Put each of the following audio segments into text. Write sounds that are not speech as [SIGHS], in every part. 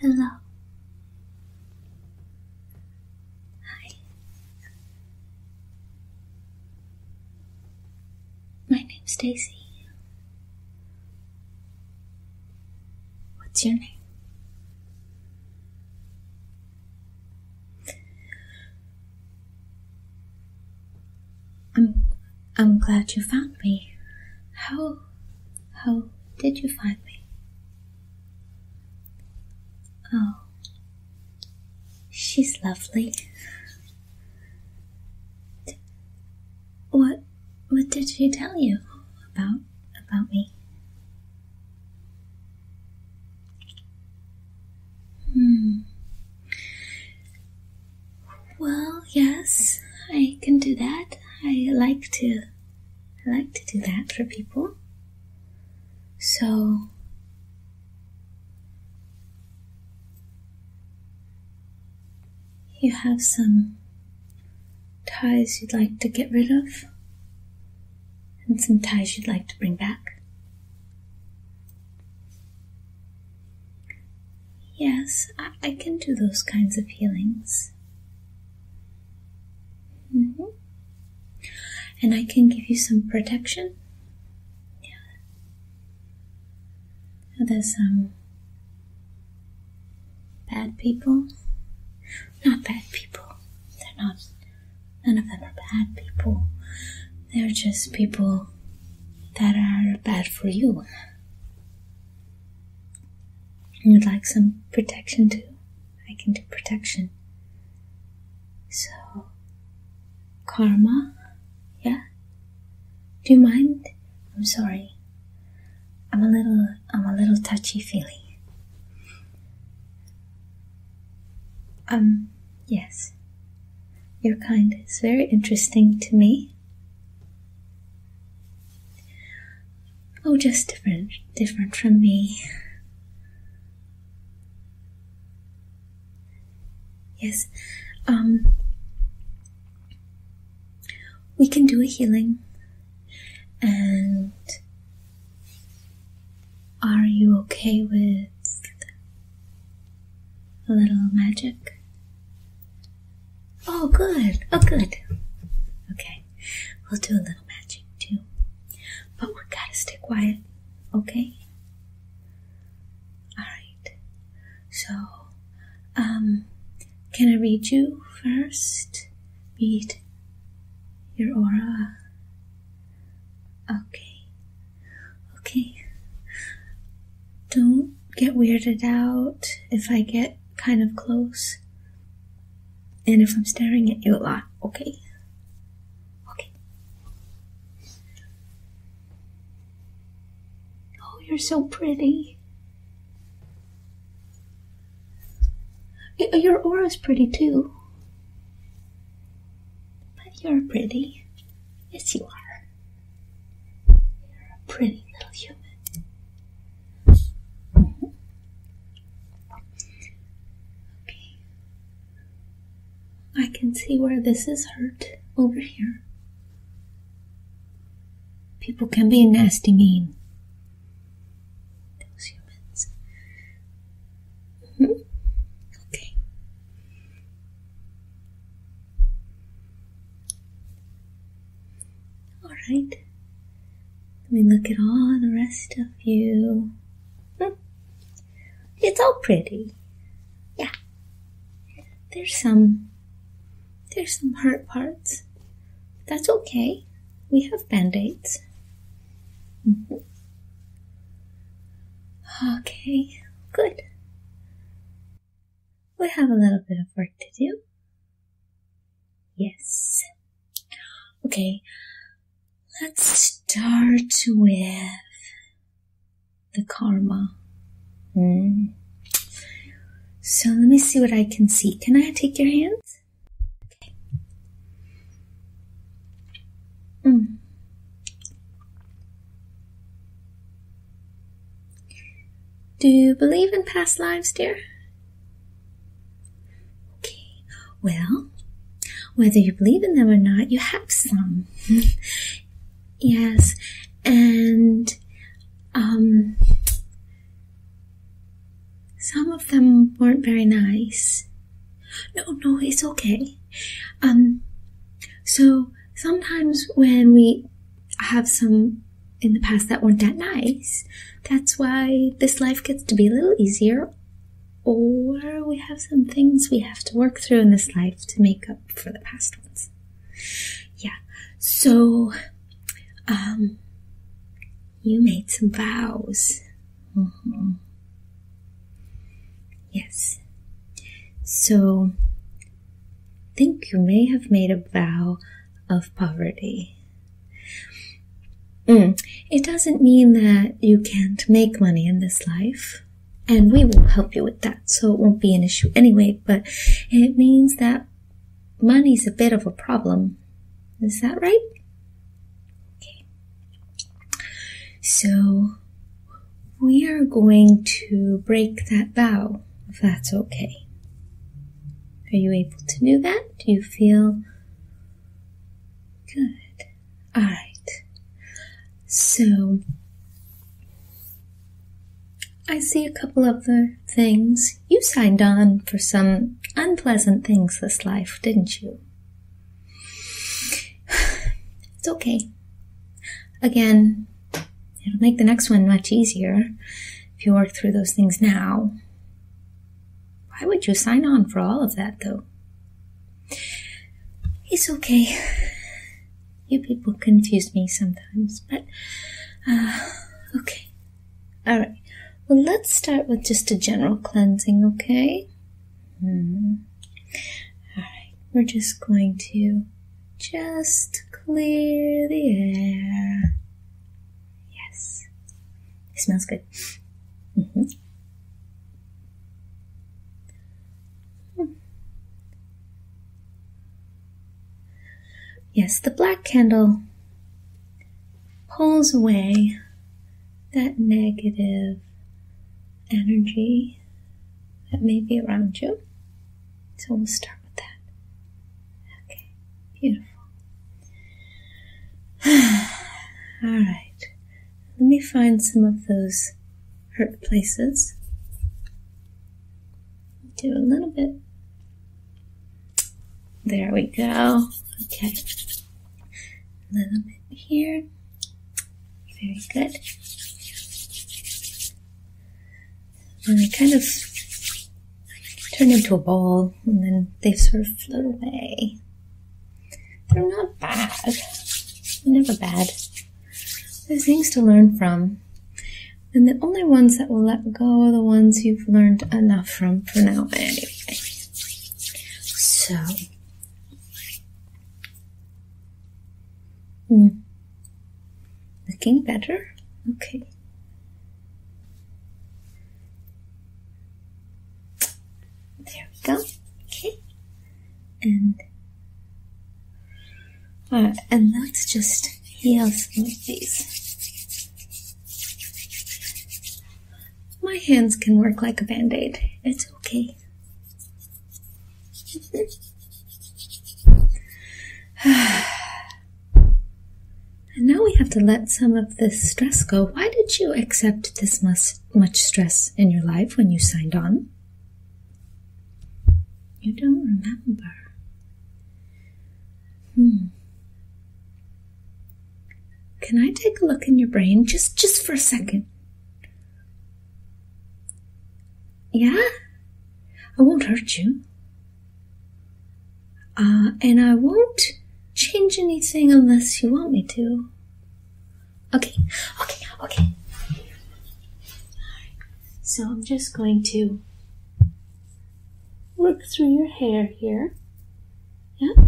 Hello. Hi. My name's Stacy. What's your name? I'm, I'm glad you found me. How, how did you find me? Oh, she's lovely. What, what did she tell you about, about me? Hmm. Well, yes, I can do that. I like to I like to do that for people. So you have some ties you'd like to get rid of and some ties you'd like to bring back. Yes, I, can do those kinds of healings. Mm-hmm. And I can give you some protection. There's some bad people. Not bad people. They're not. None of them are bad people. They're just people that are bad for you. You'd like some protection too? I can do protection. So, karma, yeah? Do you mind? I'm sorry. I'm a little, I'm a little touchy feely. Um, Yes, your kind is very interesting to me. Oh, just different, different from me. Yes, um, we can do a healing. And are you okay with a little magic. Oh, good. Oh, good. Okay. We'll do a little magic too. But we gotta stay quiet, okay? Alright. So, um, can I read you first? Read your aura. Okay. Okay. Don't get weirded out if I get kind of close. And if I'm staring at you a lot, okay? Okay. Oh, you're so pretty. Uh, your aura's pretty too. But you're pretty. Yes, you are. Pretty little human. Okay. I can see where this is hurt over here. People can be nasty mean. Those humans. -hmm. Okay. All right. Let me look at all the rest of you. Hmm. It's all pretty. Yeah. There's some there's some hurt parts. That's okay. We have band-aids. Mm-hmm. Okay, good. We have a little bit of work to do. Yes. Okay, let's start with the karma. Mm. So let me see what I can see. Can I take your hands? Okay. Hmm. Do you believe in past lives, dear? Okay, well, whether you believe in them or not, you have some. [LAUGHS] yes, and um, some of them weren't very nice. No, no, it's okay. Um, so sometimes when we have some in the past that weren't that nice, that's why this life gets to be a little easier, or we have some things we have to work through in this life to make up for the past ones. Yeah, so um, you made some vows. Mm-hmm. Yes. So, I think you may have made a vow of poverty. Hmm. It doesn't mean that you can't make money in this life, and we will help you with that, so it won't be an issue anyway, but it means that money's a bit of a problem. Is that right? So we are going to break that vow. if that's okay. Are you able to do that? Do you feel good? All right. So I see a couple other things. You signed on for some unpleasant things this life, didn't you? [SIGHS] It's okay. Again, it'll make the next one much easier if you work through those things now. Why would you sign on for all of that, though? It's okay. You people confuse me sometimes, but uh, okay. All right. Well, let's start with just a general cleansing, okay? Mm. Alright, we're just going to just clear the air. Yes. It smells good. Mm-hmm. hmm. Yes, the black candle pulls away that negative energy that may be around you. So we'll start with that. Okay, beautiful. [SIGHS] All right, let me find some of those hurt places. Do a little bit. There we go. Okay. A little bit here. Very good. they kind of turn into a ball and then they sort of float away. They're not bad. never bad. There's things to learn from. And the only ones that will let go are the ones you've learned enough from for now anyway. So Hmm. Looking better? Okay. There we go. Okay. And uh, and let's just heal some of these. My hands can work like a band-aid. It's okay. [SIGHS] and now we have to let some of this stress go. Why did you accept this much, stress in your life when you signed on? You don't remember. Hmm. Can I take a look in your brain just just for a second? Yeah? I won't hurt you. Uh, and I won't change anything unless you want me to. Okay, okay, okay. So I'm just going to work through your hair here. Yeah?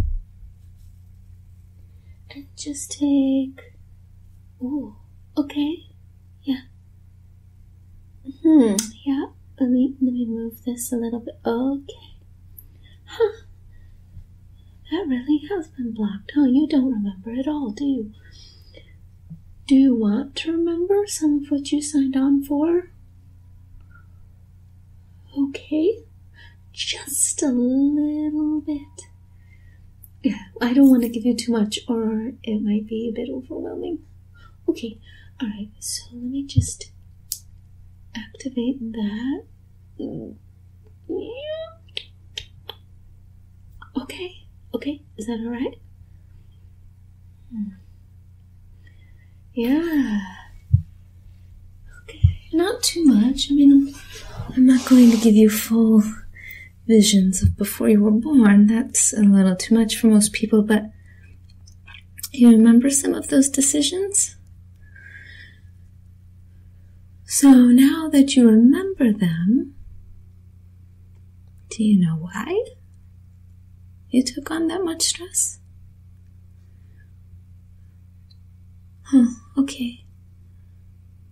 and just take. Oh, okay, yeah. Hmm. Yeah. Let me let me move this a little bit. Okay. Huh. That really has been blocked. Oh, you don't remember it all, do you? Do you want to remember some of what you signed on for? Okay just a little bit. Yeah, I don't want to give you too much or it might be a bit overwhelming. Okay, alright, so let me just activate that. Yeah. Okay, okay, is that alright? Hmm. Yeah. Okay, not too much. I mean, I'm not going to give you full visions of before you were born. That's a little too much for most people, but you remember some of those decisions? So now that you remember them, do you know why you took on that much stress? Huh, okay.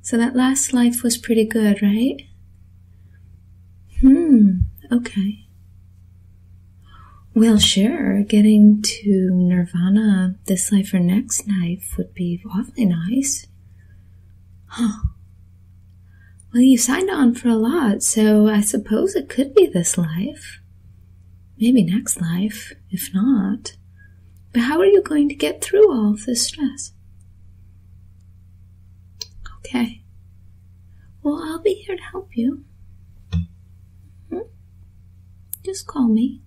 So that last life was pretty good, right? Hmm, okay. Well, sure, getting to Nirvana this life or next life would be awfully nice. Huh. Well, you signed on for a lot, so I suppose it could be this life. Maybe next life, if not. But how are you going to get through all of this stress? Okay. Well, I'll be here to help you. Hmm? Just call me.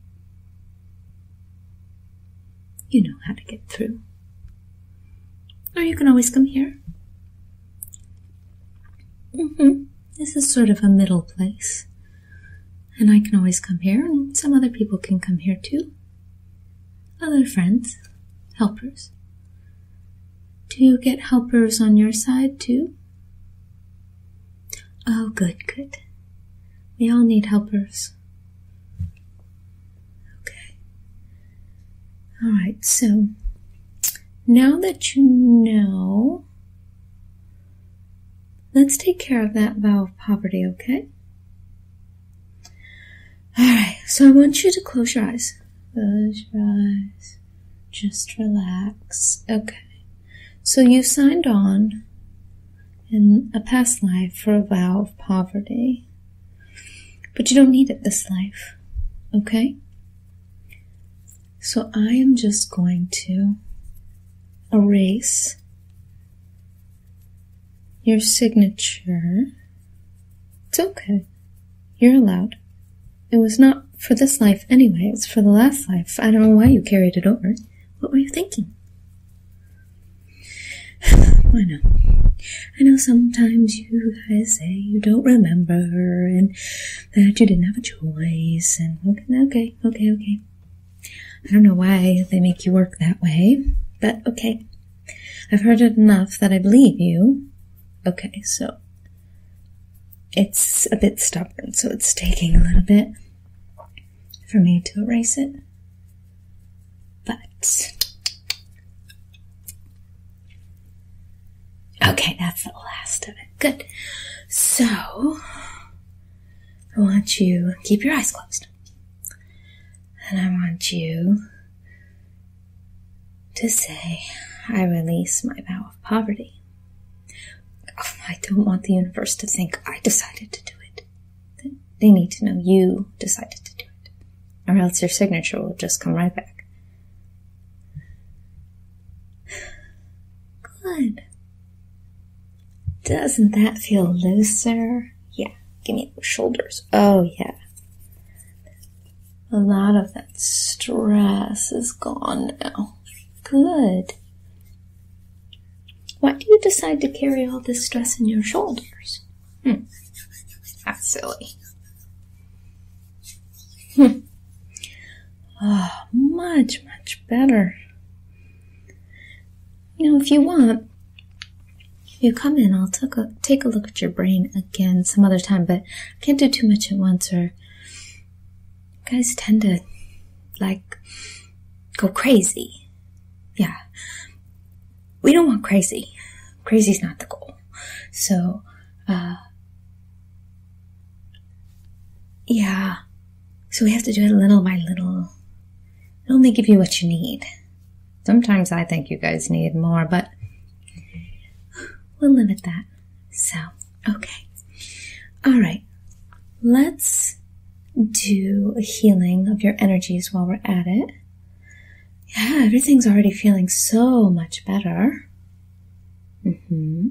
You know how to get through. Or you can always come here. Mm-hmm. This is sort of a middle place. And I can always come here, and some other people can come here too. Other friends, helpers. Do you get helpers on your side too? Oh, good, good. We all need helpers. Okay. Alright, so now that you know Let's take care of that vow of poverty, okay? Alright, so I want you to close your eyes. Close your eyes. Just relax. Okay. So you signed on in a past life for a vow of poverty. But you don't need it this life, okay? So I am just going to erase your signature. It's okay. You're allowed. It was not for this life anyway, it's for the last life. I don't know why you carried it over. What were you thinking? I [SIGHS] know. I know sometimes you guys say you don't remember and that you didn't have a choice and okay, okay, okay, okay. I don't know why they make you work that way, but okay. I've heard it enough that I believe you. Okay, so it's a bit stubborn, so it's taking a little bit for me to erase it. But okay, that's the last of it. Good. So I want you keep your eyes closed. And I want you to say, I release my vow of poverty. Oh, I don't want the universe to think I decided to do it. They need to know you decided to do it. Or else your signature will just come right back. Good. Doesn't that feel looser? Yeah, give me those shoulders. Oh, yeah. A lot of that stress is gone now. Good. Why do you decide to carry all this stress in your shoulders? Hmm. That's silly. Hmm. Oh, much, much better. You know, if you want, if you come in, I'll take a, take a look at your brain again some other time, but I can't do too much at once or guys tend to like go crazy. Yeah. We don't want crazy. Crazy's not the goal. So, uh, yeah, so we have to do it little by little. only give you what you need. Sometimes I think you guys need more, but we'll limit that. So, okay. All right. Let's do a healing of your energies while we're at it. Yeah, everything's already feeling so much better. Mm-hmm.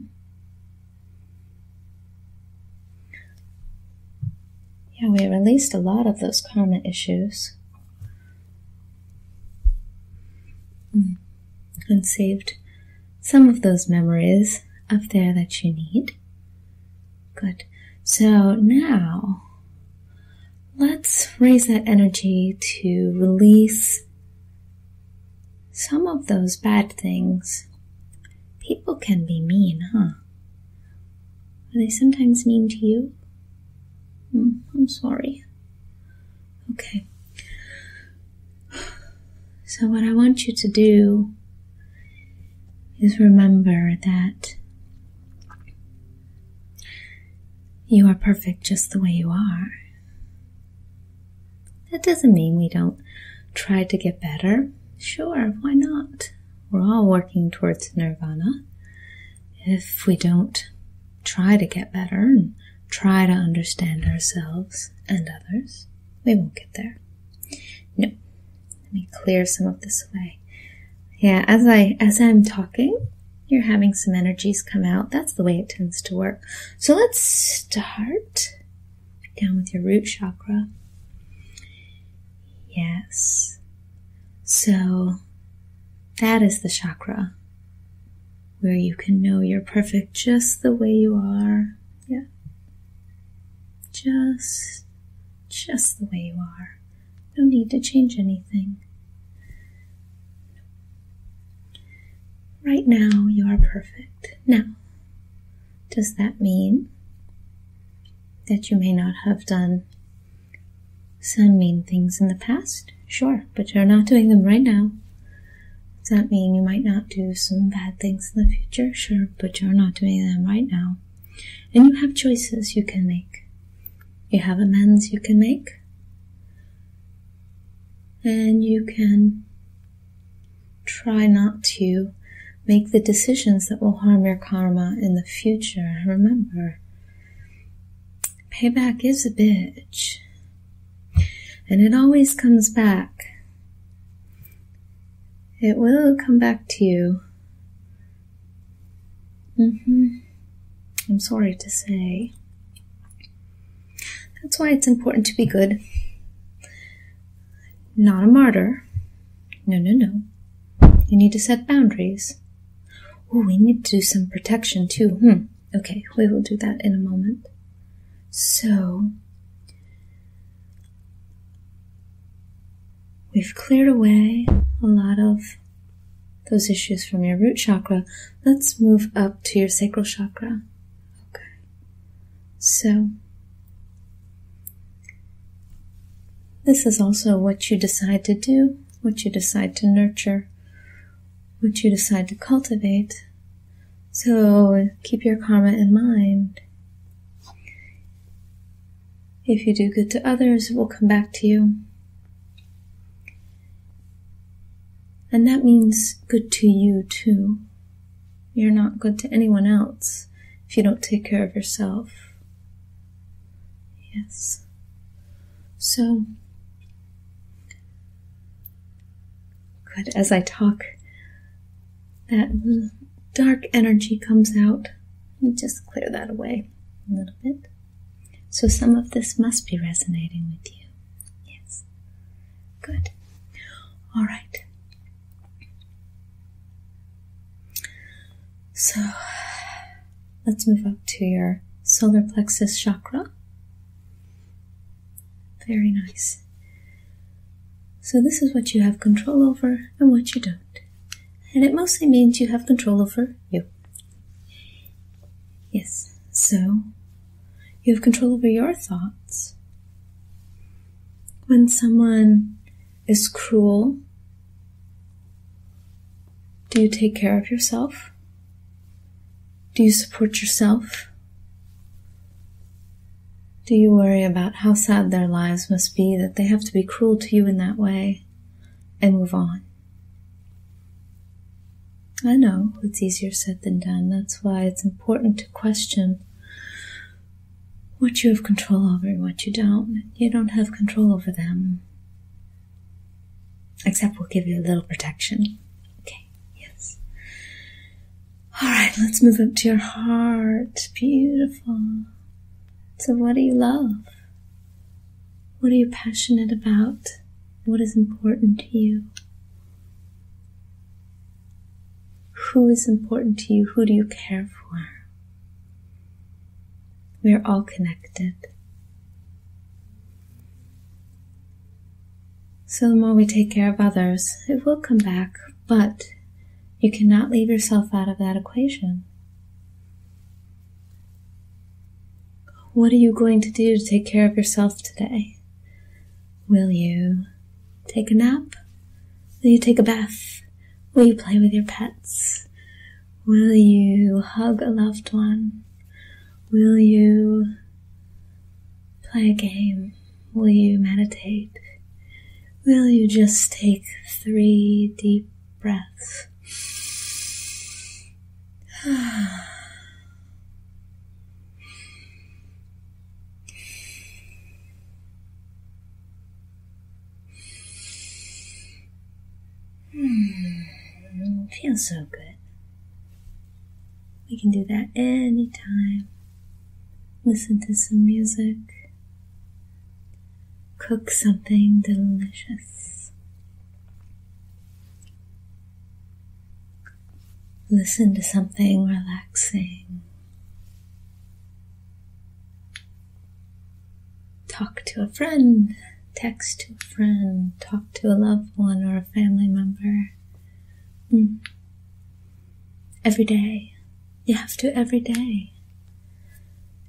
Yeah, we released a lot of those karma issues and hmm. saved some of those memories up there that you need. Good. So now let's raise that energy to release some of those bad things. People can be mean, huh? Are they sometimes mean to you? Hmm, I'm sorry. Okay. So, what I want you to do is remember that you are perfect just the way you are. That doesn't mean we don't try to get better. Sure, why not? We're all working towards nirvana. If we don't try to get better and try to understand ourselves and others, we won't get there. No. Let me clear some of this away. Yeah, as I as I'm talking, you're having some energies come out. That's the way it tends to work. So let's start down with your root chakra. Yes. So that is the chakra where you can know you're perfect just the way you are. Yeah. Just, just the way you are. No need to change anything. Right now, you are perfect. Now, does that mean that you may not have done some mean things in the past? Sure, but you're not doing them right now. Does that mean you might not do some bad things in the future? Sure, but you're not doing them right now. And you have choices you can make. You have amends you can make. And you can Try not to make the decisions that will harm your karma in the future. Remember, payback is a bitch. And it always comes back. It will come back to you. Mm-hmm. I'm sorry to say. That's why it's important to be good. Not a martyr. No, no, no. You need to set boundaries. Oh, we need to do some protection too. Hmm. Okay, we will do that in a moment. So, we've cleared away a lot of those issues from your root chakra. Let's move up to your sacral chakra. Okay. So, this is also what you decide to do, what you decide to nurture, what you decide to cultivate. So, keep your karma in mind. If you do good to others, it will come back to you. And that means good to you too. You're not good to anyone else if you don't take care of yourself. Yes. So, good. As I talk, that dark energy comes out. Let just clear that away a little bit. So, some of this must be resonating with you. Yes. Good. All right. So let's move up to your solar plexus chakra. Very nice. So, this is what you have control over and what you don't. And it mostly means you have control over you. Yes. So, you have control over your thoughts. When someone is cruel, do you take care of yourself? Do you support yourself? Do you worry about how sad their lives must be that they have to be cruel to you in that way and move on? I know it's easier said than done. That's why it's important to question what you have control over and what you don't. You don't have control over them. Except we'll give you a little protection. Okay, yes. All right, let's move up to your heart. Beautiful. So, what do you love? What are you passionate about? What is important to you? Who is important to you? Who do you care for? We are all connected. So the more we take care of others, it will come back, but you cannot leave yourself out of that equation. What are you going to do to take care of yourself today? Will you take a nap? Will you take a bath? Will you play with your pets? Will you hug a loved one? Will you play a game? Will you meditate? Will you just take three deep breaths? [SIGHS] Hmm, feels so good. We can do that anytime. Listen to some music. Cook something delicious. Listen to something relaxing. Talk to a friend, text to a friend, talk to a loved one or a family member. Hmm. Every day. You have to every day.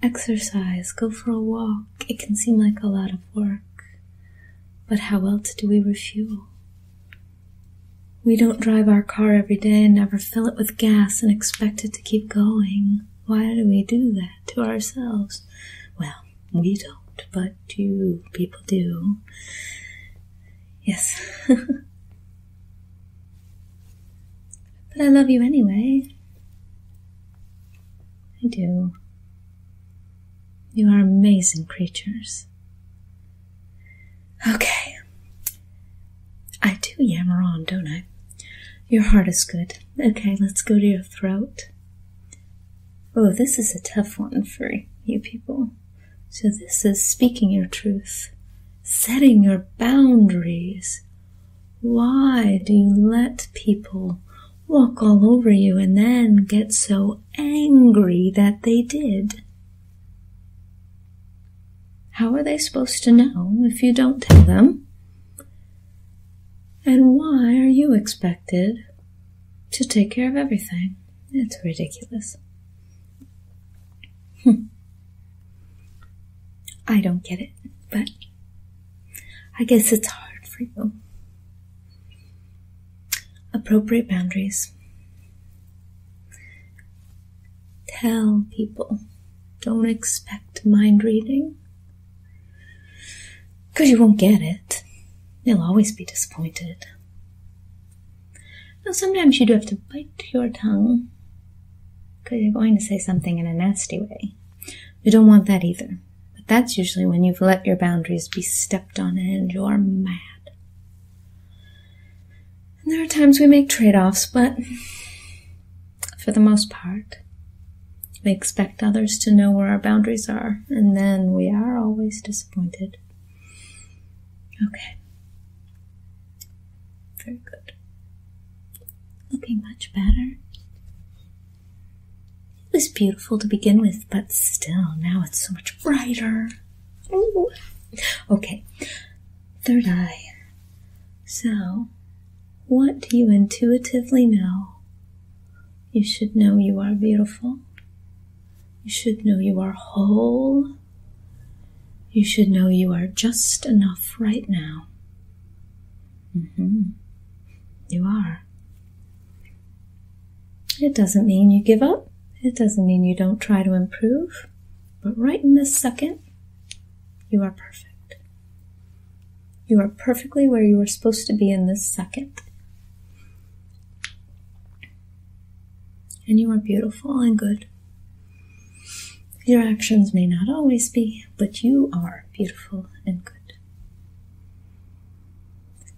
Exercise, go for a walk. It can seem like a lot of work, but how else do we refuel? We don't drive our car every day and never fill it with gas and expect it to keep going. Why do we do that to ourselves? Well, we don't, but you people do. Yes. [LAUGHS] but I love you anyway. I do. You are amazing creatures. Okay. I do yammer on, don't I? Your heart is good. Okay, let's go to your throat. Oh, this is a tough one for you people. So, this is speaking your truth, setting your boundaries. Why do you let people walk all over you and then get so angry that they did. How are they supposed to know if you don't tell them? And why are you expected to take care of everything? It's ridiculous. [LAUGHS] I don't get it, but I guess it's hard for you. Appropriate boundaries. Tell people. Don't expect mind reading. Because you won't get it. You'll always be disappointed. Now, sometimes you do have to bite your tongue because you're going to say something in a nasty way. You don't want that either. But that's usually when you've let your boundaries be stepped on and you're mad. And there are times we make trade offs, but for the most part, we expect others to know where our boundaries are, and then we are always disappointed. Okay. Very good. Looking much better. It was beautiful to begin with, but still, now it's so much brighter. Ooh. Okay, third eye. So, what do you intuitively know? You should know you are beautiful. You should know you are whole. You should know you are just enough right now. Mm-hmm. You are. It doesn't mean you give up. It doesn't mean you don't try to improve. But right in this second, you are perfect. You are perfectly where you are supposed to be in this second. And you are beautiful and good. Your actions may not always be, but you are beautiful and good.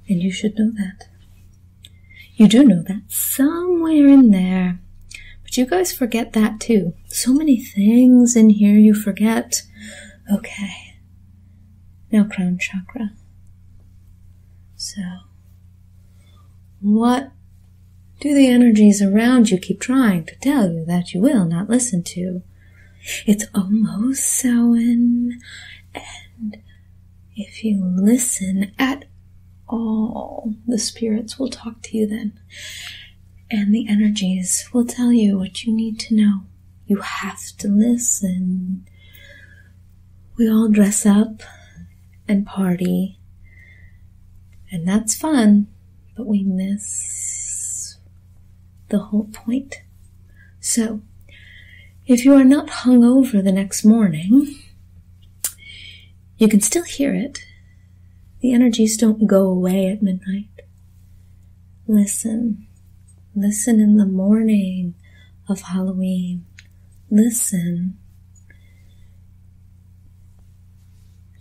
And you should know that. You do know that somewhere in there. But you guys forget that too. So many things in here you forget. Okay. Now, crown chakra. So, what do the energies around you keep trying to tell you that you will not listen to? It's almost Samhain, and if you listen at all, the spirits will talk to you then, and the energies will tell you what you need to know. You have to listen. We all dress up and party, and that's fun, but we miss the whole point. So, if you are not hung over the next morning, you can still hear it. The energies don't go away at midnight. Listen. Listen in the morning of Halloween. Listen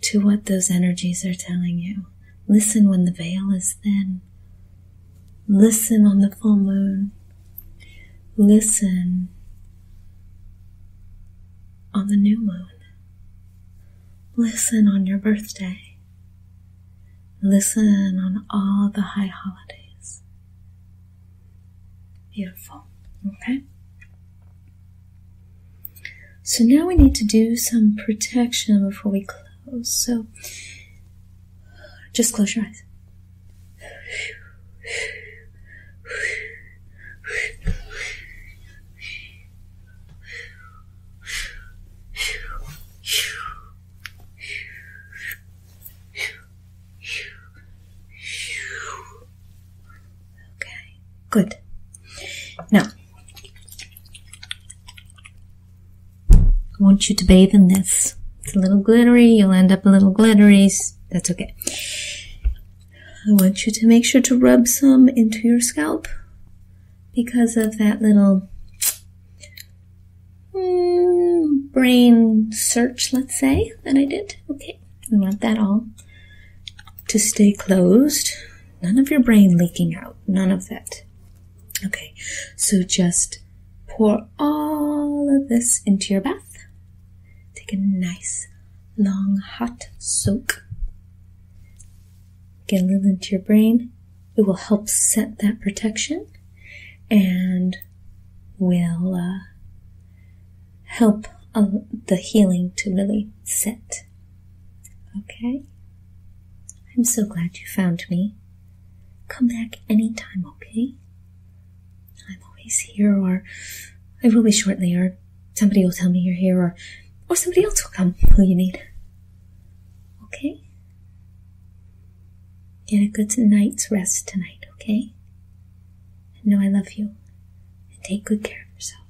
to what those energies are telling you. Listen when the veil is thin. Listen on the full moon. Listen on the new moon. Listen on your birthday. Listen on all the high holidays. Beautiful. Okay? So now we need to do some protection before we close. So just close your eyes. Okay, good. Now, I want you to bathe in this. It's a little glittery, you'll end up a little glittery, that's okay. I want you to make sure to rub some into your scalp because of that little mm, brain search, let's say, that I did. Okay, we want that all to stay closed. None of your brain leaking out, none of that. Okay, so just pour all of this into your bath. Take a nice long hot soak. Get a little into your brain. It will help set that protection and will uh, help uh, the healing to really set. Okay? I'm so glad you found me. Come back any time, okay? I'm always here, or I will be shortly, or somebody will tell me you're here, or, or somebody else will come who you need. Okay? Get a good night's rest tonight, okay? And know I love you, and take good care of yourself.